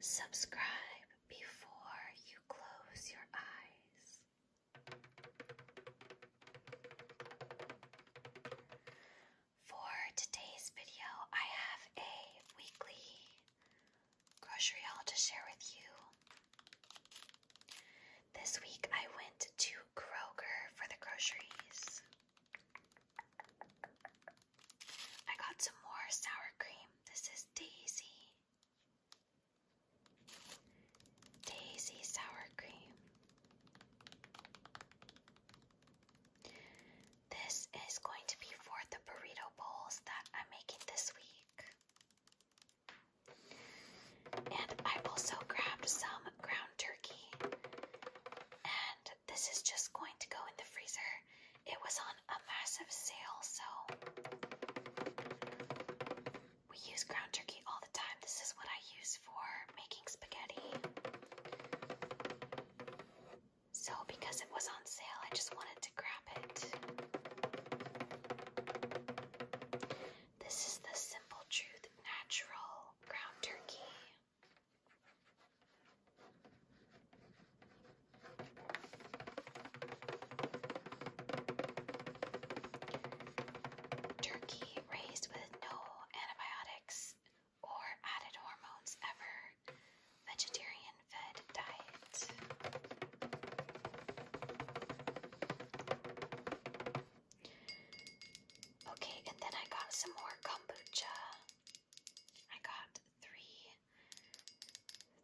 Subscribe before you close your eyes. For today's video, I have a weekly grocery haul to share with you. This week I went to Kroger for the groceries. I got some more sour cream. This is Daisy. Daisy sour cream. This is going to be for the burrito bowls that I'm making this week. And I also grabbed some ground turkey. And this is just going to go in the freezer it was on a massive sale, so we use ground turkey all the time. This is what I use for making spaghetti. So, because it was on sale, I just wanted to grab it. This is the Simple Truth Natural Ground Turkey. Turkey raised with no antibiotics or added hormones ever. Vegetarian fed diet. Okay, and then I got some more kombucha. I got three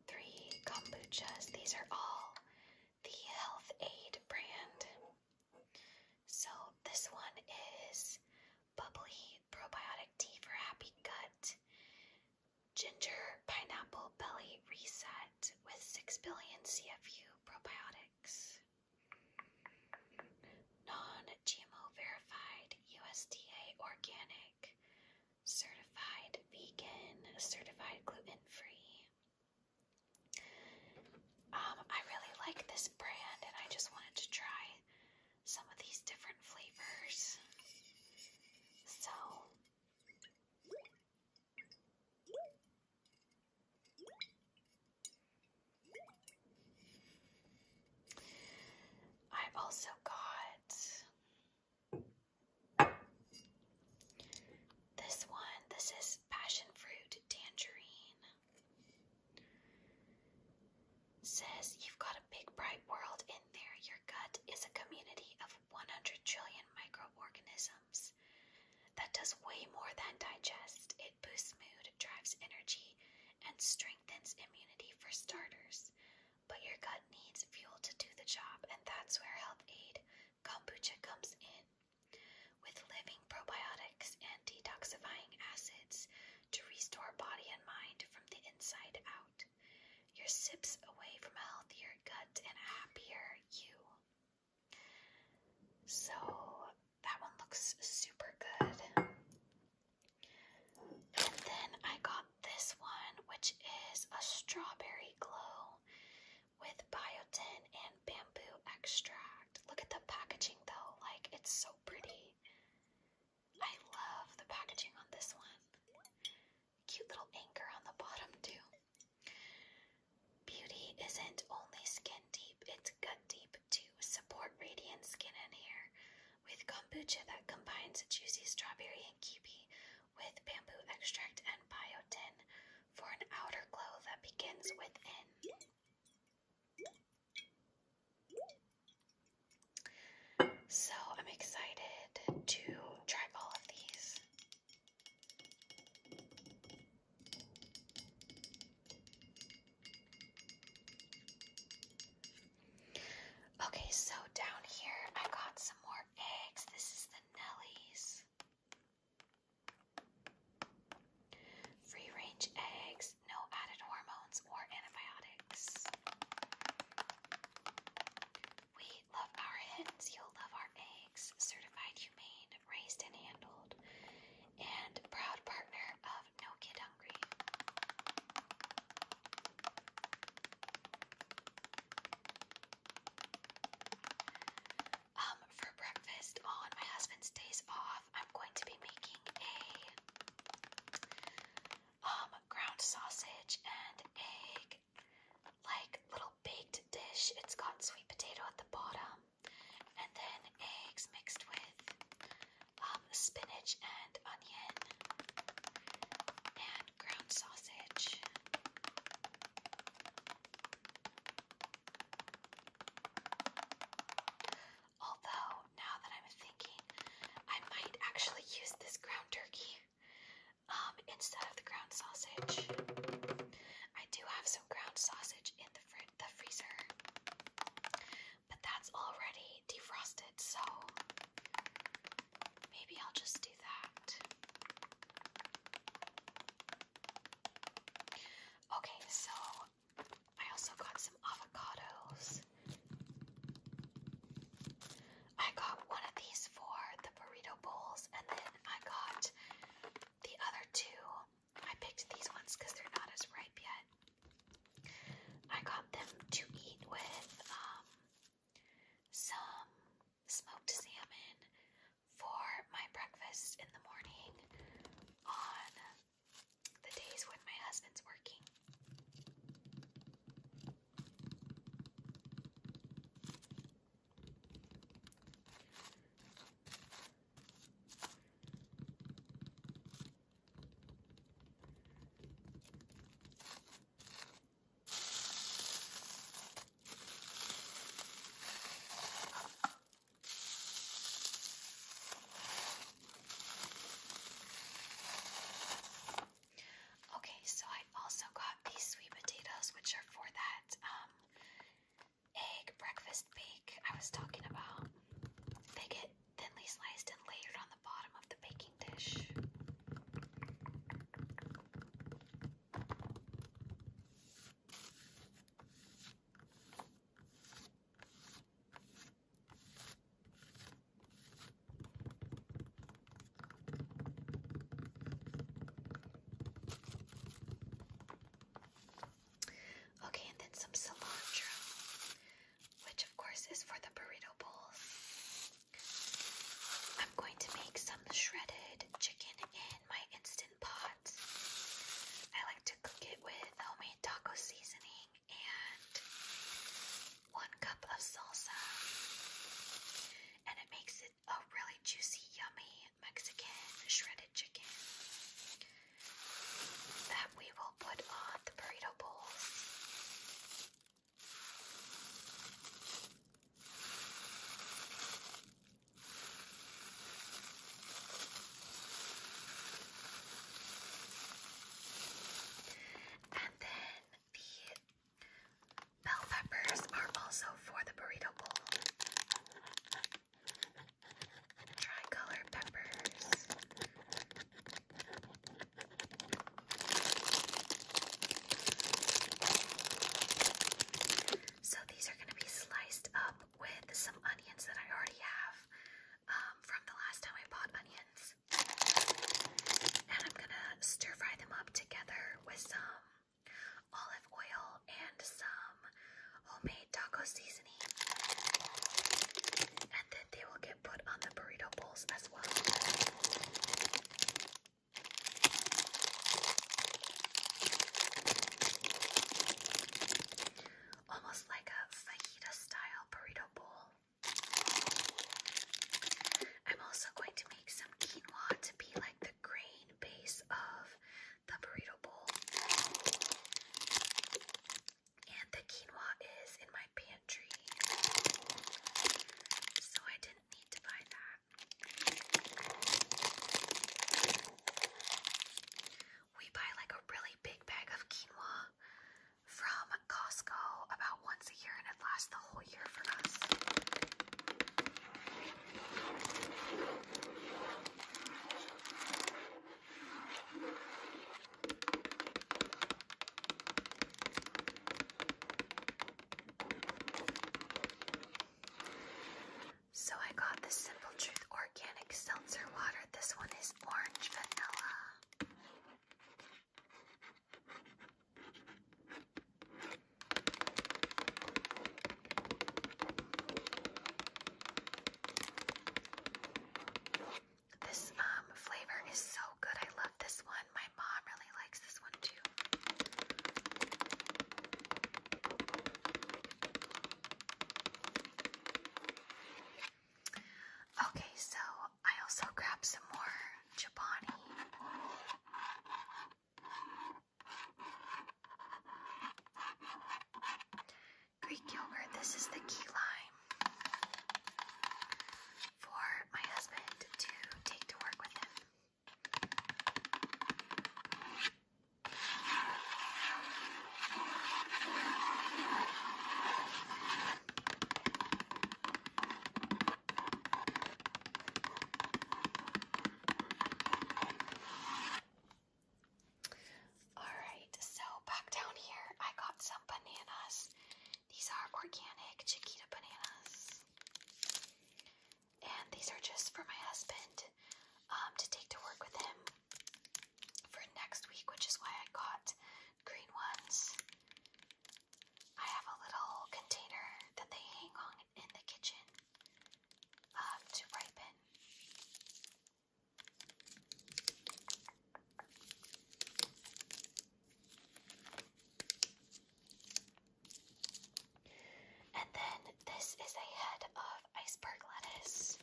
Three kombuchas. These are all the Health Aid brand. So this one is bubbly probiotic tea for happy gut, ginger pineapple belly reset with 6 billion CFU probiotics non-GMO verified, USDA organic, certified vegan, certified gluten-free. Um, I really like this brand and I just wanted to try some of these different flavors. So I also got this one. This is passion fruit tangerine. says you've got a big bright world in there. Your gut is a community of 100 trillion microorganisms that does way more than digest. It boosts mood, drives energy, and strengthens immunity for starters. But your gut needs fuel to do the job, and that's where Health Aid kombucha comes in. With living probiotics and detoxifying acids to restore body and mind from the inside out, Your sips away from a healthier gut and a happier you. So that one looks super good. And then I got this one, which is a strawberry glow with biotin and bamboo extract. Look at the packaging though, like it's so pretty. I love the packaging on this one. Cute little anchor on the bottom too. Beauty isn't only skin deep, it's gut deep to support radiant skin and hair with kombucha that combines juicy strawberry and kiwi with bamboo extract and biotin for an outer glow that begins within. So I'm excited to try all of these. Okay, so down here I got some more eggs. This is the Nellies. Free range eggs, no added hormones or antibiotics. We love our hens, you'll love our eggs. Certified humane, raised and handled, and proud partner of No Kid Hungry. Um, for breakfast on my husband's days off, I'm going to be making a um ground sausage and egg like little baked dish. It's got sweet potato at the bottom and then eggs mixed with um, spinach and onion and ground sausage. Although, now that I'm thinking, I might actually use this ground turkey um, instead of the ground sausage. I do have some ground sausage in the, fr the freezer but that's already defrosted, so maybe I'll just do that. Okay, so I also got some avocados. I got one of these for the burrito bowls, and then I got the other two. I picked these ones because they're not as ripe yet. I got them to eat with um, some smoked salmon for my breakfast in the morning on the days when my husband's working. Okay, so I also got these sweet potatoes, which are for that um, egg breakfast bake I was talking about. They get thinly sliced and layered on the bottom of the baking dish. Okay, then some cilantro which of course is for the burrito bowls. I'm going to make some shredded chicken in my instant pot. I like to cook it with homemade taco seasoning and one cup of salsa, and it makes it a really juicy, yummy Mexican shredded chicken that we will put on the burrito bowls. And then the bell peppers are also for the burrito bowl. Tricolored peppers so these are going to be sliced up with some onions that I already have um, from the last time I bought onions. And I'm going to stir fry them up together with some olive oil and some homemade taco seasoning. And then they will get put on the burrito bowls as well. Almost like a fajita style burrito bowl. I'm also going to make some quinoa to be like the grain base of the burrito bowl. And the quinoa is in my pantry. So I didn't need to buy that. We buy like a really big bag of quinoa from Costco about once a year and it lasts the whole year for us. So I got the Simple Truth Organic Seltzer Water. This one is orange vanilla. This um, flavor is so good. I love this one. My mom really likes this one too. Okay, so I also grabbed some more Chibani. Greek yogurt. This is the key lime for my husband to take to work with him. Alright, so back down here, I got some bananas. These are organic Chiquita bananas. And these are just for my husband um, to take to work with him for next week, which is why I got green ones. I have a little container that they hang on in the kitchen um, to ripen. And then this is a head of iceberg lettuce,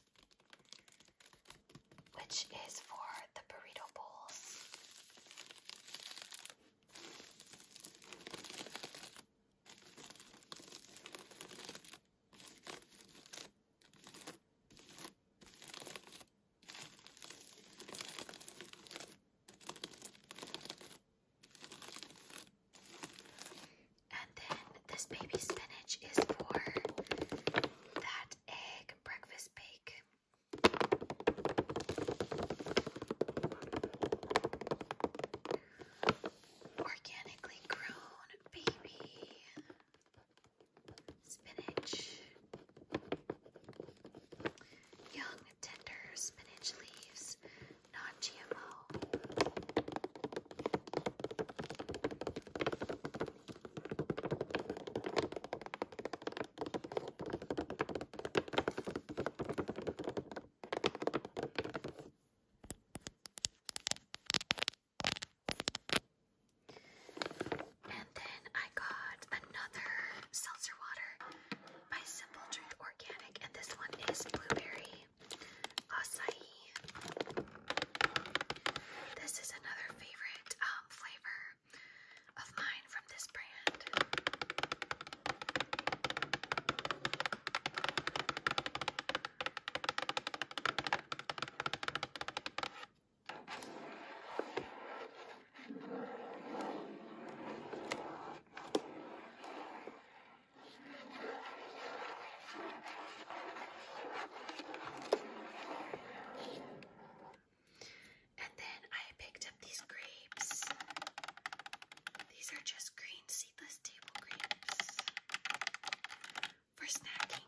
which is for the burrito bowls. And then this baby spinach is for that egg breakfast bake. Organically grown baby spinach, young tender spinach leaves, non GMO. And then I got another seltzer water by Simple Drink Organic, and this one is blueberry acai. This is another favorite um, flavor of mine from this brand. And then I picked up these grapes. These are just green seedless table grapes for snacking.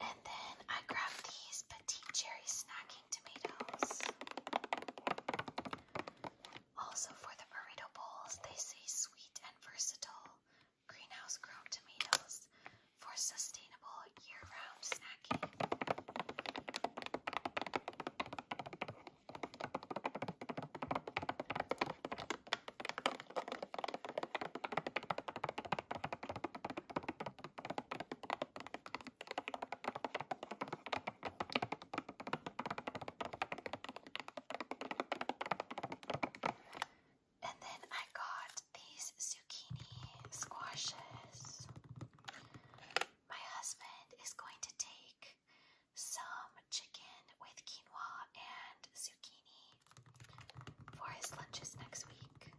And then I grabbed these petite cherry snacking tomatoes. Also for the burrito bowls, they say sweet and versatile greenhouse grown tomatoes for sustainable year-round snacking. And then I got these zucchini squashes. My husband is going to take some chicken with quinoa and zucchini for his lunches next week.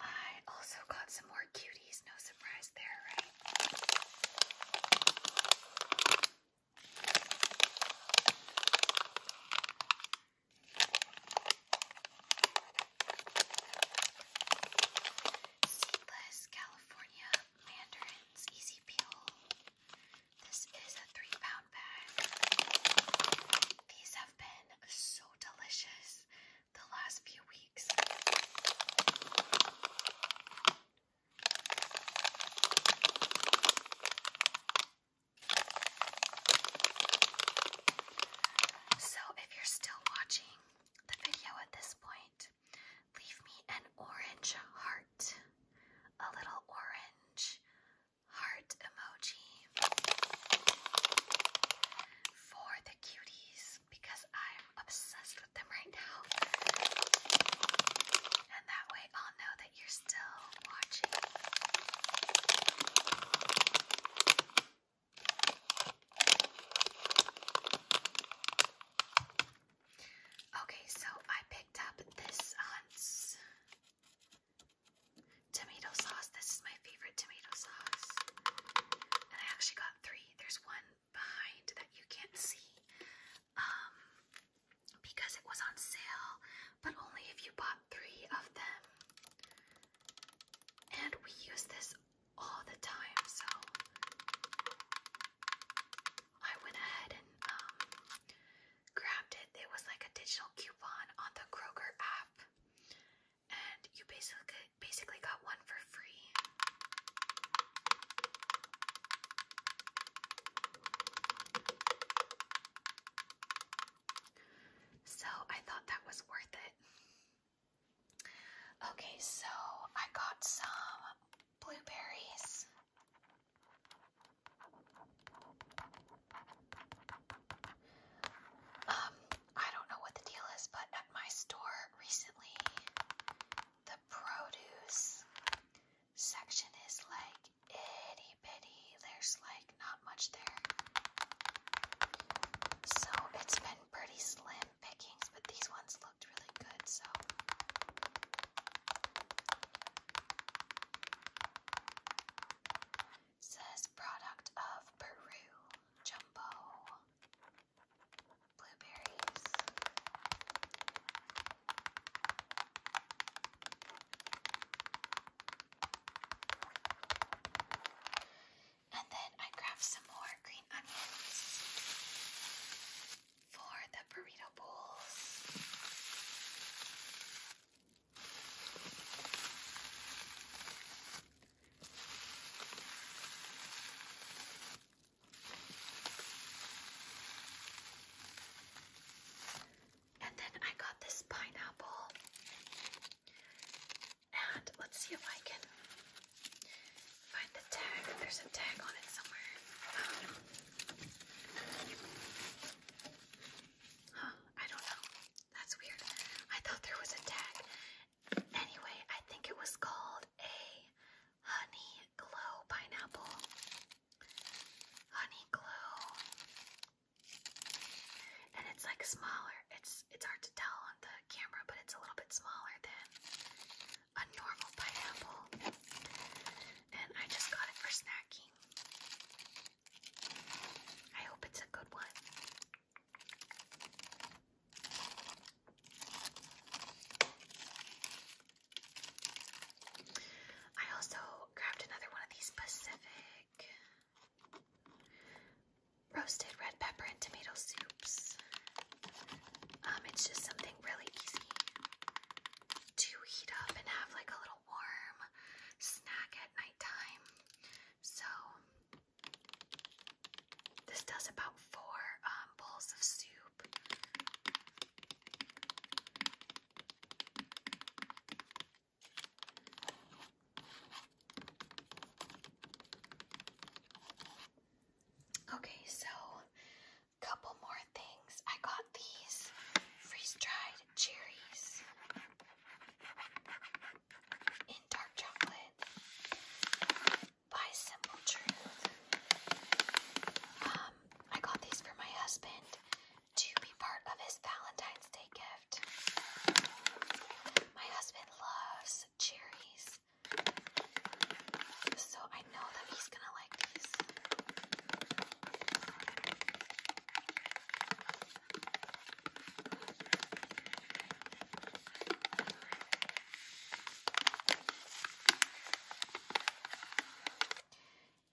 I also got some more cuties, no surprise there, right? Seedless California Mandarins Easy Peel. This is a three pound bag. These have been so delicious the last few weeks. So, if you're still watching the video at this point, Leave me an orange heart. A little orange heart emoji for the cuties because I'm obsessed with them right now. And that way I'll know that you're still watching. Okay, so I picked up this Hunt's um, tomato sauce. This is my favorite tomato sauce. And I actually got three. There's one behind that you can't see um, because it was on sale, but only if you bought three of them. And we use this all the time, so I went ahead and um, grabbed it. It was like a digital coupon on the Kroger app, and you basically basically got one for free. So I thought that was worth it. Okay, so I got some blueberries. Um, I don't know what the deal is, but at my store recently, the produce section is like itty bitty. There's like not much there. So it's been pretty slim pickings, but these ones looked really good, so. Says product of Peru, jumbo blueberries. And then I grabbed some more green onions for the burrito bowls. And then I got this pineapple. And let's see if I can find the tag. There's a tag on it somewhere. Um, huh, I don't know. That's weird. I thought there was a tag. Anyway, I think it was called a honey glow pineapple. Honey glow. And it's like smaller. It's it's hard to tell on the camera, but it's a little bit smaller than a normal pineapple, and I just got it for snacking. I hope it's a good one. I also grabbed another one of these Pacific roasted red pepper and tomato soups. Um, it's just something really easy to heat up and have like a little warm snack at nighttime. So this does about four um, bowls of soup. Okay, so couple more things. I got these freeze-dried cherries in dark chocolate by Simple Truth. Um, I got these for my husband to be part of his Valentine's Day gift. My husband loves cherries. So I know that he's gonna like these.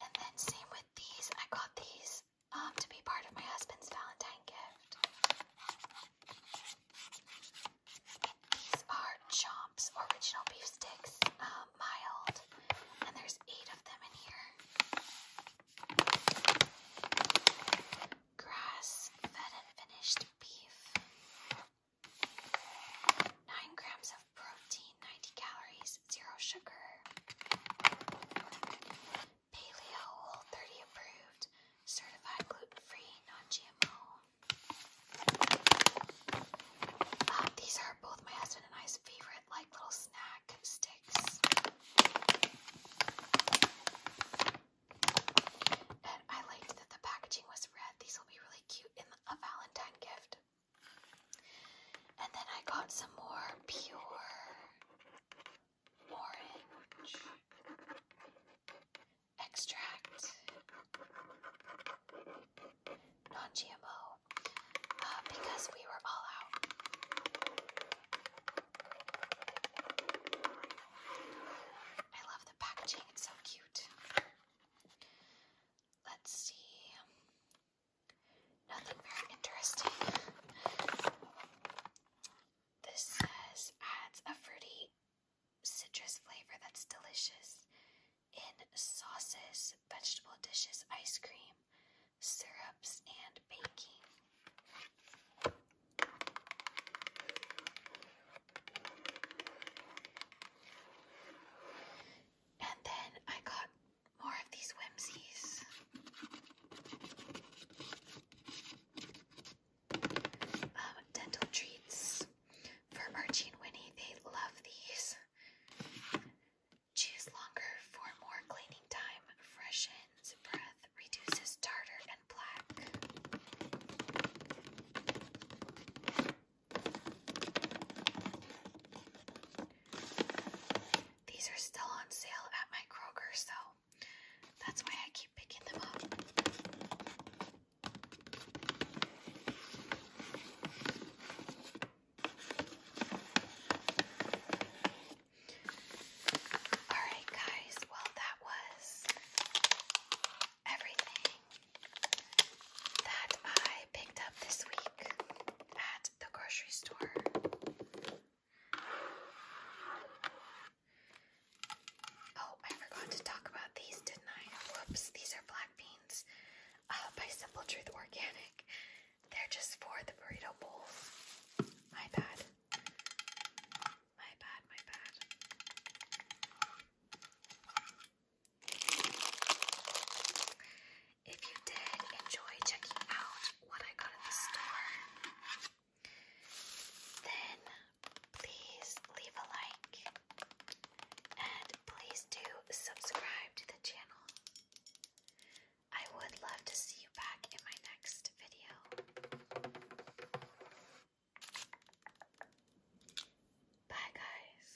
And then same with these. I got these um to be part of my husband's Valentine gift. These are Chomps original beef sticks, um, mild, and there's eight of them in here. Grass fed and finished beef. 9 grams of protein, 90 calories, zero sugar. Paleo Whole 30 approved certified gluten-free, non-GMO. Um, these are both my husband and I's favorite, like little snack sticks. And I liked that the packaging was red. These will be really cute in a Valentine gift. And then I got some more pure orange extract, non-GMO, uh, because we were all out. I love the packaging, it's so cute. Let's see. Nothing very interesting. This says adds a fruity citrus flavor that's delicious in sauces, vegetable dishes, ice cream, syrups, and baking. And then I got more of these whimsies. Um, dental treats for Archie and Winnie. They love these. Choose longer for more cleaning time. Freshens breath, reduces tartar and plaque. These are still on sale at my Kroger, though that's why I keep picking them up. Alright, guys, well, that was everything that I picked up this week at the grocery store. Oh, I forgot to talk about these, didn't I? Whoops, these are black beans uh, by Simple Truth Organic. They're just for the burrito bowls. My bad. My bad, my bad. If you did enjoy checking out what I got at the store, then please leave a like and please do subscribe to the channel. I would love to see you back in my next video. Bye, guys.